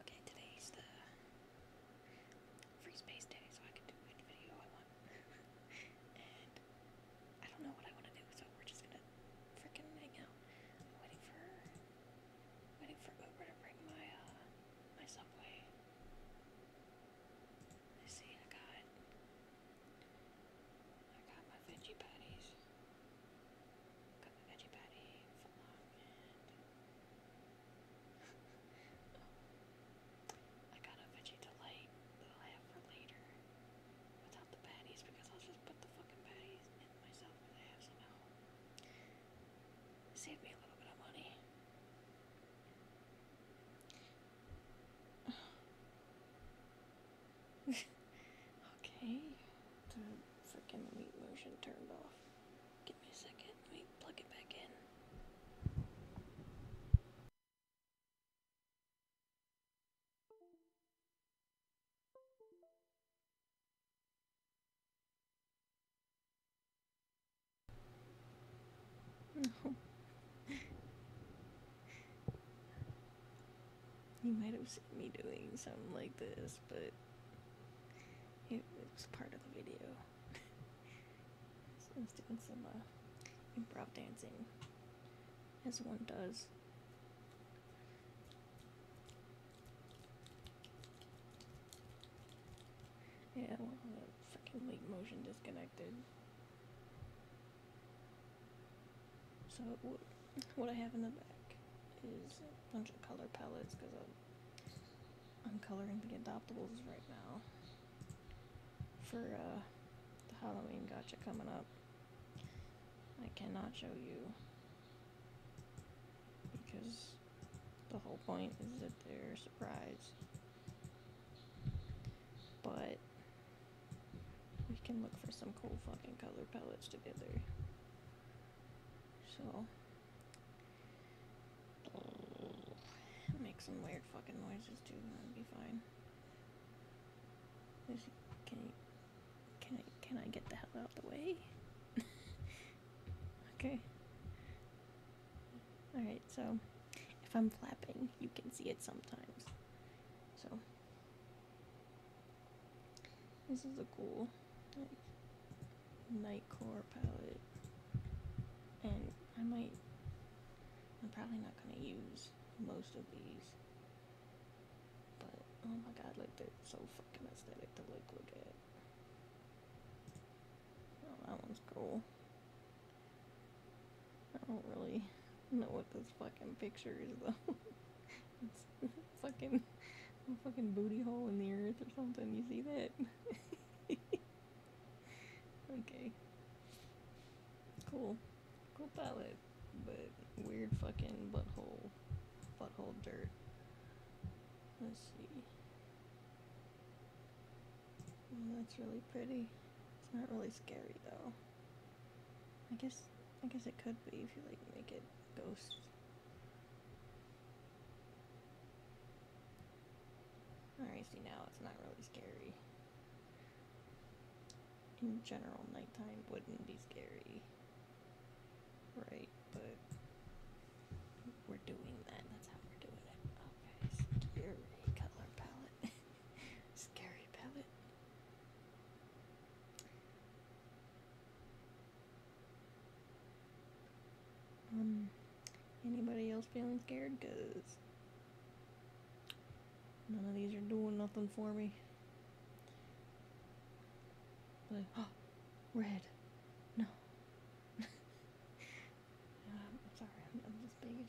Okay, today's the free space day, so I can do any video I want. and I don't know what I want to do, so we're just gonna freaking hang out. I'm waiting for Waiting for Uber to bring my uh my subway. I see I got I got my veggie patties. Got my veggie patty and oh. I got a veggie delight that I'll have for later without the patties because I'll just put the fucking patties in myself because I have some at home. Save me a little bit of money. okay, the freaking motion turned off. Give me a second, let me plug it back in. No. you might have seen me doing something like this, but it, was part of the video. so I doing some uh, improv dancing, as one does. Yeah, well, freaking late motion disconnected. So what I have in the back is a bunch of color palettes because I'm, coloring the adoptables right now for uh, the Halloween gotcha coming up. I cannot show you because the whole point is that they're surprised. But we can look for some cool fucking color palettes together. So make some weird fucking noises too, that'd be fine. Can can I get the hell out of the way? Okay. Alright, so if I'm flapping, you can see it sometimes. So, this is a cool like, Nightcore palette. And I might, I'm probably not going to use most of these. But, oh my god, like they're so fucking aesthetic to look at. Oh, that one's cool. I don't really know what this fucking picture is though. it's fucking a fucking booty hole in the earth or something. You see that? okay. Cool. Cool palette, but weird fucking butthole, butthole dirt. Let's see that's really pretty. It's not really scary though. I guess I guess it could be if you like make it ghost. Alright, see now it's not really scary. In general, nighttime wouldn't be scary right, but we're doing that. That's how we're doing it. Okay, scary color palette. scary palette. Um, anybody else feeling scared? Cause none of these are doing nothing for me. Blue. Oh, red. No. I'm sorry, I'm, just being a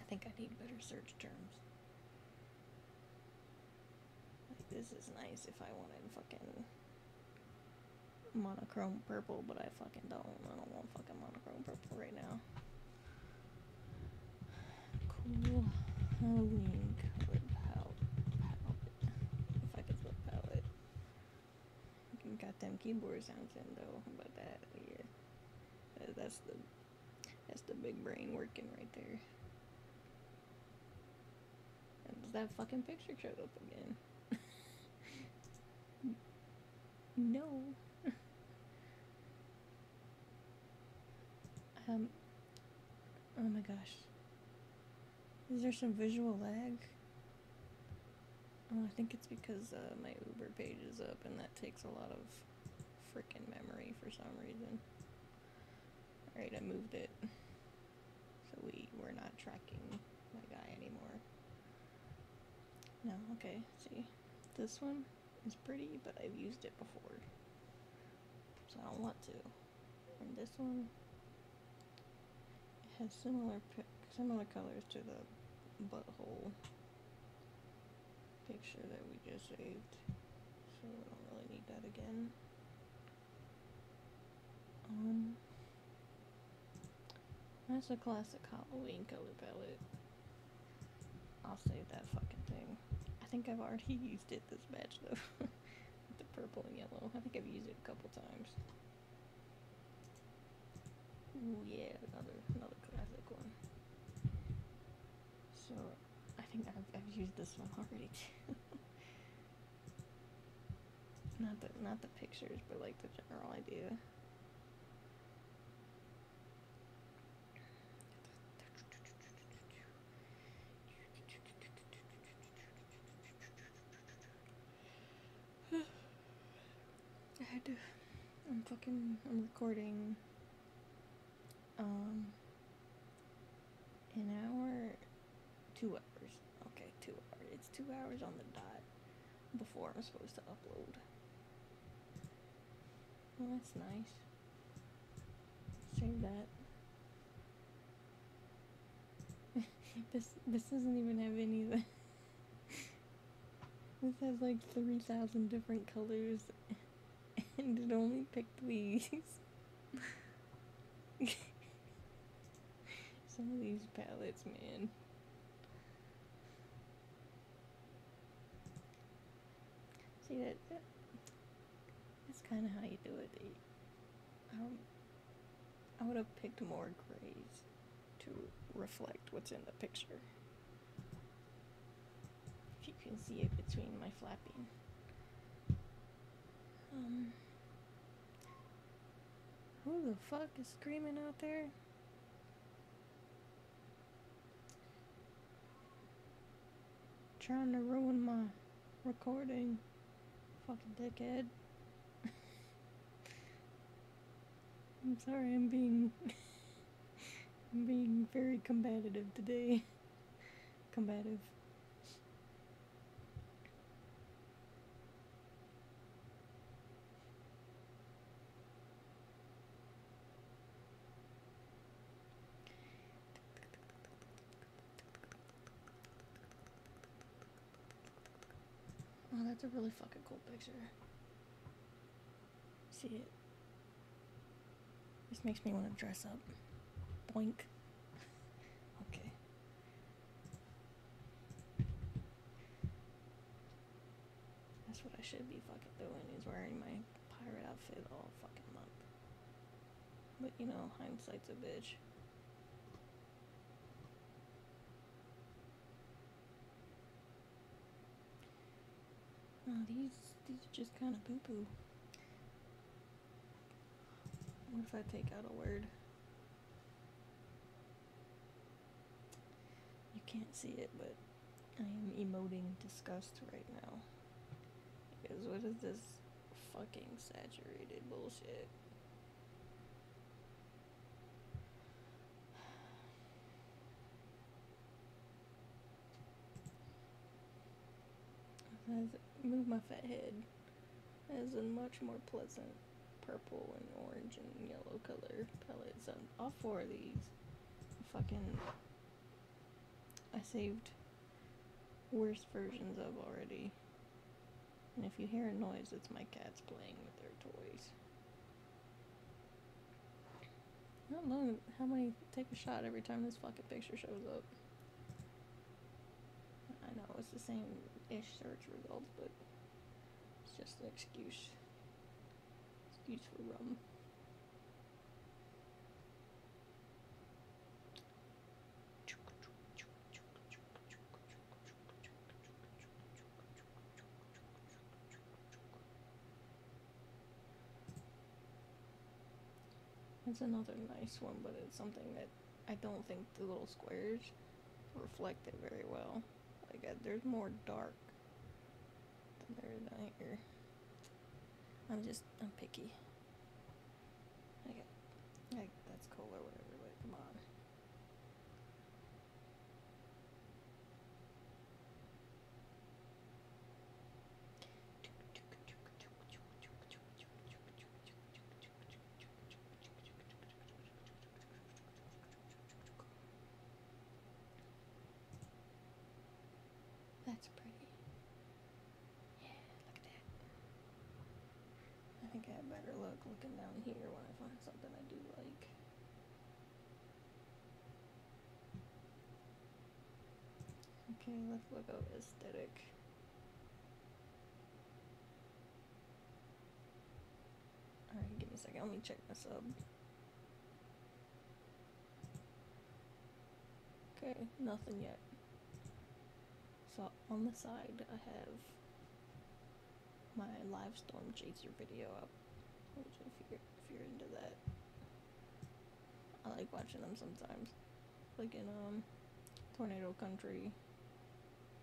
I think I need better search terms. this is nice if I wanted fucking monochrome purple, but I fucking don't. I don't want fucking monochrome purple right now. Cool Halloween colored palette. If I could flip palette. Got them keyboard sounds in though. about that? Yeah. That's the that's the big brain working right there. that fucking picture showed up again. No. um. Oh my gosh. Is there some visual lag? Oh, I think it's because uh, my Uber page is up and that takes a lot of freaking memory for some reason. Alright, I moved it. So we, we're not tracking my guy anymore. No, okay, see. This one? It's pretty, but I've used it before. So I don't want to. And this one has similar similar colors to the butthole picture that we just saved. So I don't really need that again. Um, that's a classic Halloween color palette. I'll save that fucking thing. I think I've already used it this batch though. the purple and yellow. I think I've used it a couple times. Oh yeah, another another classic one. So I think I've, I've used this one already not the not the pictures, but like the general idea. I had to. I'm fucking. I'm recording. Um. An hour. Two hours. Okay, two hours. It's two hours on the dot before I'm supposed to upload. Oh, that's nice. Save that. this this doesn't even have any This has like 3,000 different colors and it only picked these. Some of these palettes, man. See that, that's kind of how you do it. I would have picked more grays to reflect what's in the picture. If you can see it between my flapping. Um, who the fuck is screaming out there? Trying to ruin my recording. Fucking dickhead. I'm sorry, I'm being. I'm being very combative today. combative. Oh, that's a really fucking cool picture. See it? This makes me want to dress up. Boink. okay. That's what I should be fucking doing He's wearing my pirate outfit all fucking month. But you know, hindsight's a bitch. Oh, these these are just kind of poo poo. What if I take out a word? You can't see it, but I am emoting disgust right now. Because what is this fucking saturated bullshit? move my fat head as a much more pleasant purple and orange and yellow color palette. So all four of these fucking I saved worse versions of already. And if you hear a noise, it's my cats playing with their toys. I do how many take a shot every time this fucking picture shows up. I know it's the same ish search results, but it's just an excuse. It's used for That's another nice one, but it's something that I don't think the little squares reflect it very well. Like, uh, there's more dark I am just I'm picky. Okay, like that's cool or whatever, like come on. That's pretty. Yeah, look at that. I think I had better look looking down here when I find something I do like. Okay, let's look up aesthetic. Alright, give me a second. Let me check my sub. Okay, nothing yet. So on the side I have my live storm chaser video up, if you're, into that, I like watching them sometimes. Like in um, tornado country,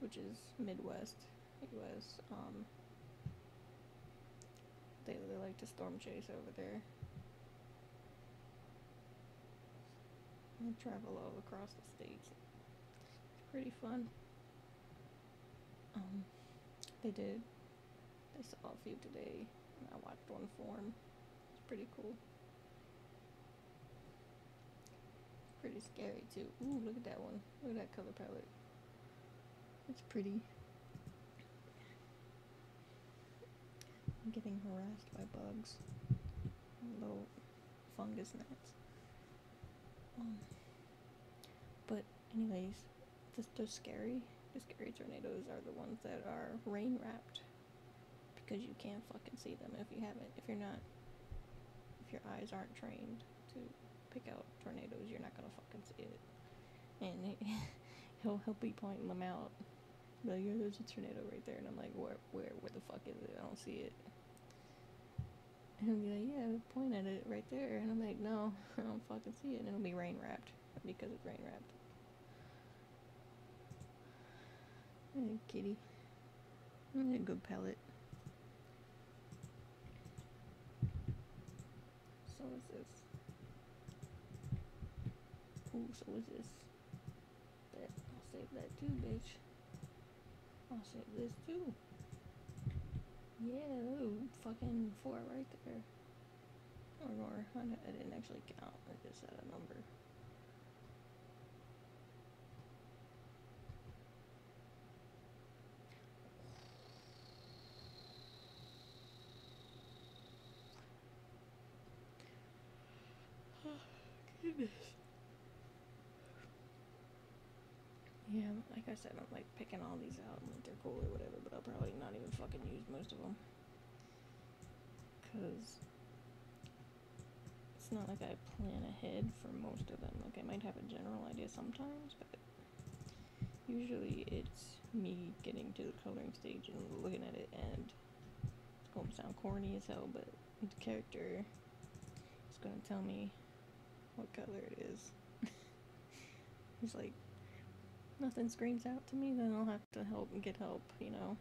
which is Midwest, U.S. Um, they like to storm chase over there. And travel all across the states. It's pretty fun. Um, they did. They saw a few today, I watched one form. It's pretty cool. Pretty scary too. Ooh, look at that one. Look at that color palette. It's pretty. I'm getting harassed by bugs. Little fungus gnats. Um, but anyways, the, the scary, the scary tornadoes are the ones that are rain wrapped because you can't fucking see them if you haven't, if you're not, if your eyes aren't trained to pick out tornadoes, you're not gonna fucking see it. And he'll he'll be pointing them out. Be like, yeah, there's a tornado right there, and I'm like, where where where the fuck is it? I don't see it. And he'll be like, yeah, point at it right there, and I'm like, no, I don't fucking see it. And it'll be rain wrapped because it's rain wrapped. And kitty, and a good pellet. So is this. Ooh, so is this. That I'll save that too, bitch. I'll save this too. Yeah, ooh, fucking four right there. Or more. I, didn't actually count. I just had a number. Yeah, like I said, I'm like picking all these out and like they're cool or whatever, but I'll probably not even fucking use most of them. Because it's not like I plan ahead for most of them. Like I might have a general idea sometimes, but Usually it's me getting to the coloring stage and looking at it and it's going to sound corny as hell, but the character is going to tell me what color it is. He's like, nothing screams out to me, then I'll have to help and get help, you know.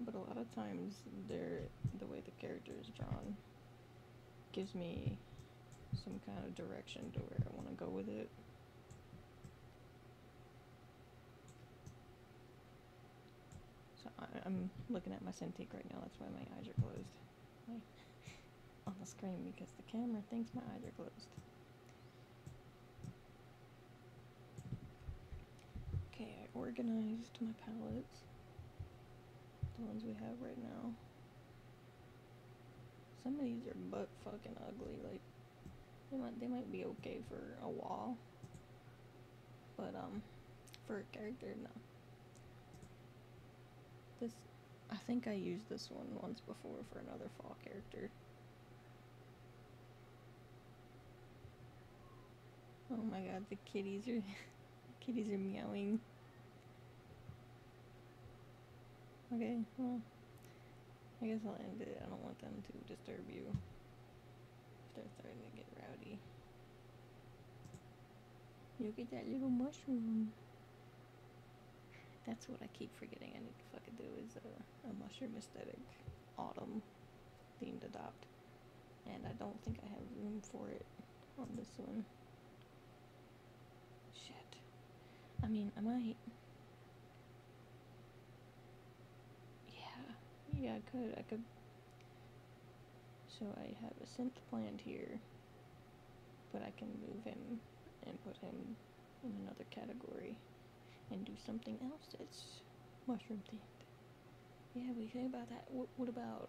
But a lot of times, the way the character is drawn gives me some kind of direction to where I want to go with it. So I, am looking at my Cintiq right now, that's why my eyes are closed. On the screen because the camera thinks my eyes are closed. Okay, I organized my palettes. The ones we have right now. Some of these are butt fucking ugly. Like they might they might be okay for a while, but um, for a character, no. This, I think I used this one once before for another fall character. Oh my god, the kitties are the kitties are meowing. Okay, well, I guess I'll end it. I don't want them to disturb you if they're starting to get rowdy. Look at that little mushroom. That's what I keep forgetting I need to fucking do is a, uh, a mushroom aesthetic autumn themed adopt. And I don't think I have room for it on this one. Shit. I mean, I might. Yeah. Yeah, I could. I could. So I have a synth planned here. But I can move him and put him in another category and do something else that's mushroom themed. Yeah, we think about that. What, about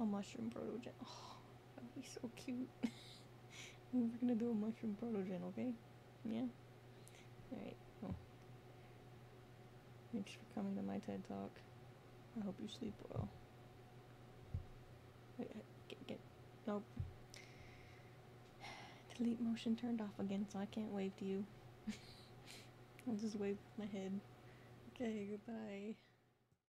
a mushroom protogen? Oh, That'll be so cute. We're gonna do a mushroom protogen, okay? Yeah? Alright, Thanks for coming to my TED Talk. I hope you sleep well. Wait, get, get, nope. Delete motion turned off again, so I can't wave to you. I'll just wave with my head. Okay, goodbye.